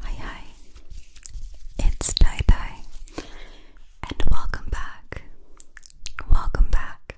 Hi, hi, it's Tai Tai, and welcome back, welcome back,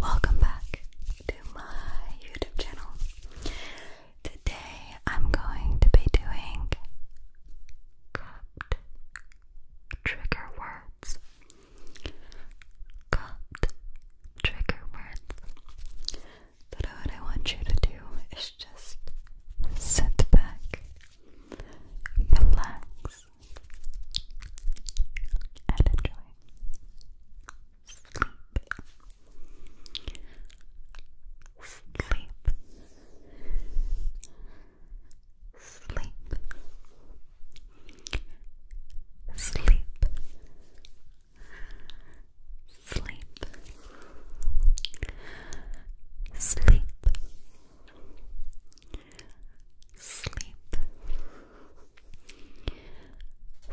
welcome back to my YouTube channel. Today I'm going to be doing cupped trigger words. Cupped trigger words. But all I want you to do is just sit back, relax, and enjoy Sleep. Sleep. Sleep. Sleep sleep, sleep, sleep,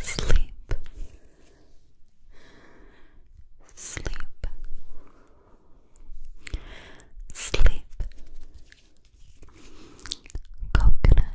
sleep, sleep, sleep, coconut.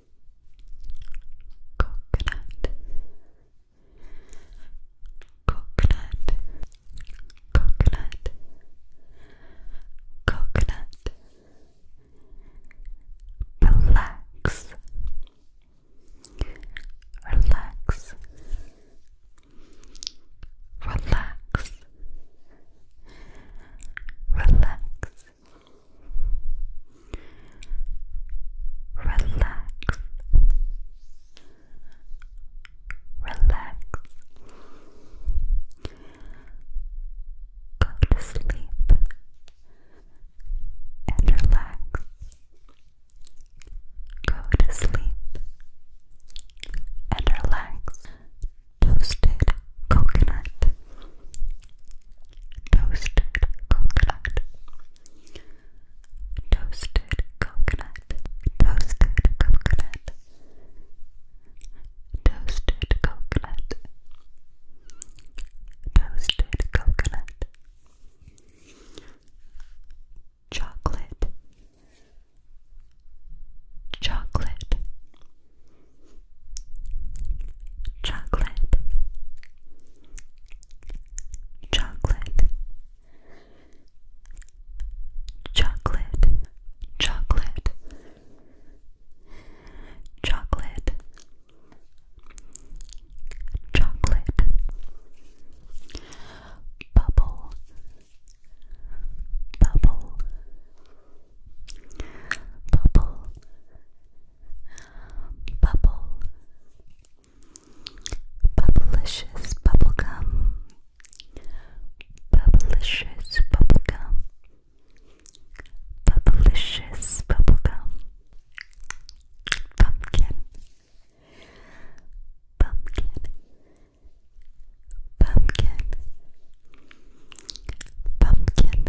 coconut coconut coconut coconut relax relax relax relax relax, relax, go to sleep and relax, go to sleep and relax. Toasted coconut toasted coconut, toasted coconut, toasted coconut, toasted coconut, toasted coconut, chocolate, chocolate. Chocolate, chocolate, chocolate, chocolate, chocolate, chocolate, chocolate, bubble, bubble, bubble. Bubble, Bubblicious Bubblegum, Bubblicious Bubblegum, Bubblicious Bubblegum, Pumpkin, Pumpkin, Pumpkin, Pumpkin.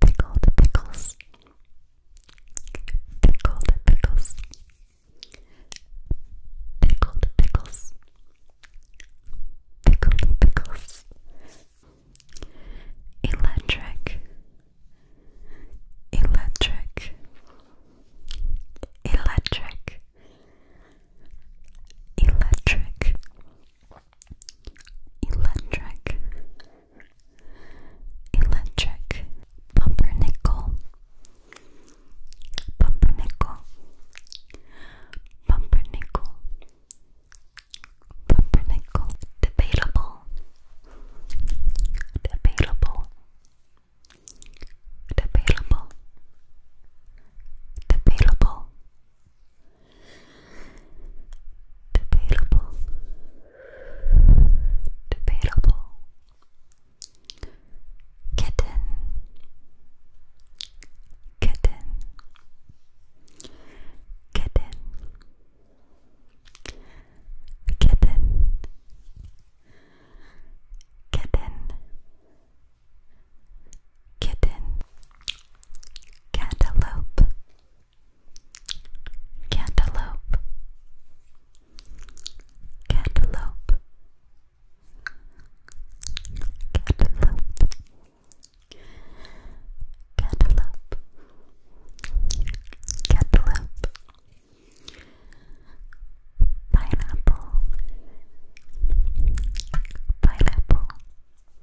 Pickled pickles. Pickled pickles. Pickled pickles. Pickled pickles. Electric. Electric. Electric. Electric. Electric, electric, pumpernickel, pumpernickel, pumpernickel, pumpernickel, debatable, debatable, debatable, debatable, Debatable. Debatable. Kitten. Kitten. Kitten. Kitten. Kitten. Kitten. Kitten, cantaloupe, cantaloupe, cantaloupe, cantaloupe, cantaloupe, cantaloupe, pineapple, pineapple.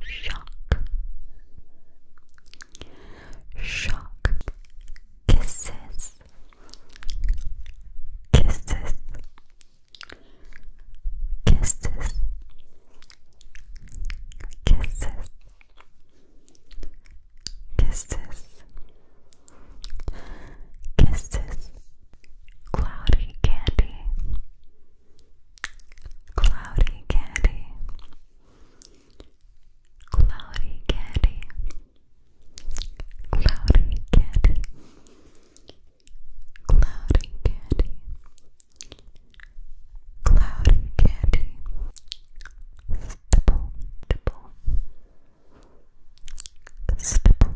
shock, shock, kisses, kisses, kisses, kisses, kisses, kisses, cloudy candy. Cloudy Candy Cloudy Candy Cloudy Candy Cloudy Candy Cloudy Candy Stipple Stipple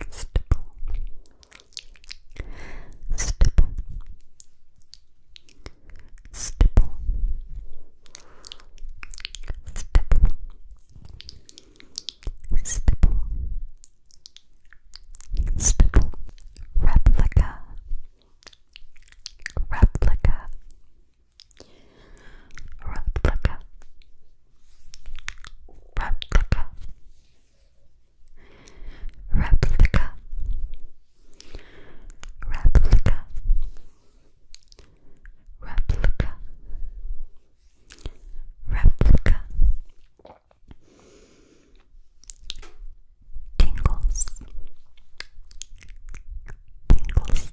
Stipple Stipple stipple, stipple, stipple, stipple, stipple, replica, replica, replica. Replica, replica replica replica replica tingles tingles tingles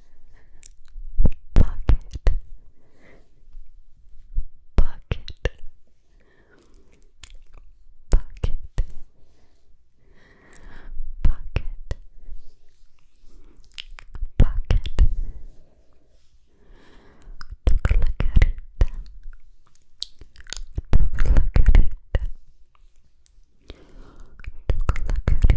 Pocket. Pocket. Pocket. Pocket. Pocket. Tuklakarita. Tuklakarita. Tuklakarita.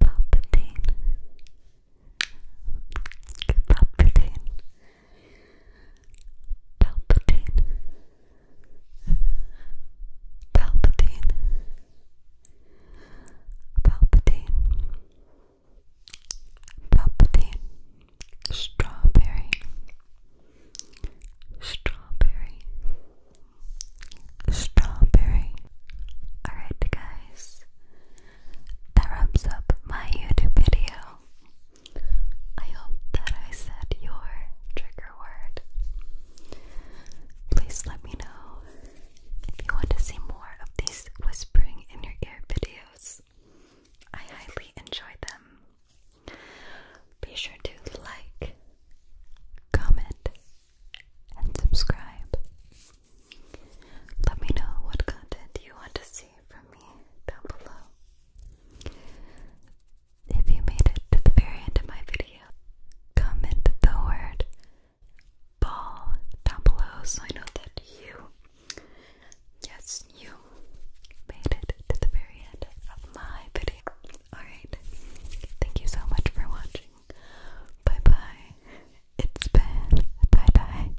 Palpatine Palpatine Palpatine Palpatine Palpatine Palpatine Strawberry Strawberry Strawberry Alright, guys, that wraps up my YouTube video. I hope that I said your trigger word. Please let me know if you want to see more of these whispering in your ear videos. I highly enjoy them. Be sure to like, comment, and subscribe. Let me know what content you want to see from me down below. If you made it to the very end of my video, comment the word ball down below so I know that you, yes, you made it to the very end of my video. Alright, thank you so much for watching. Bye bye. It's bye bye.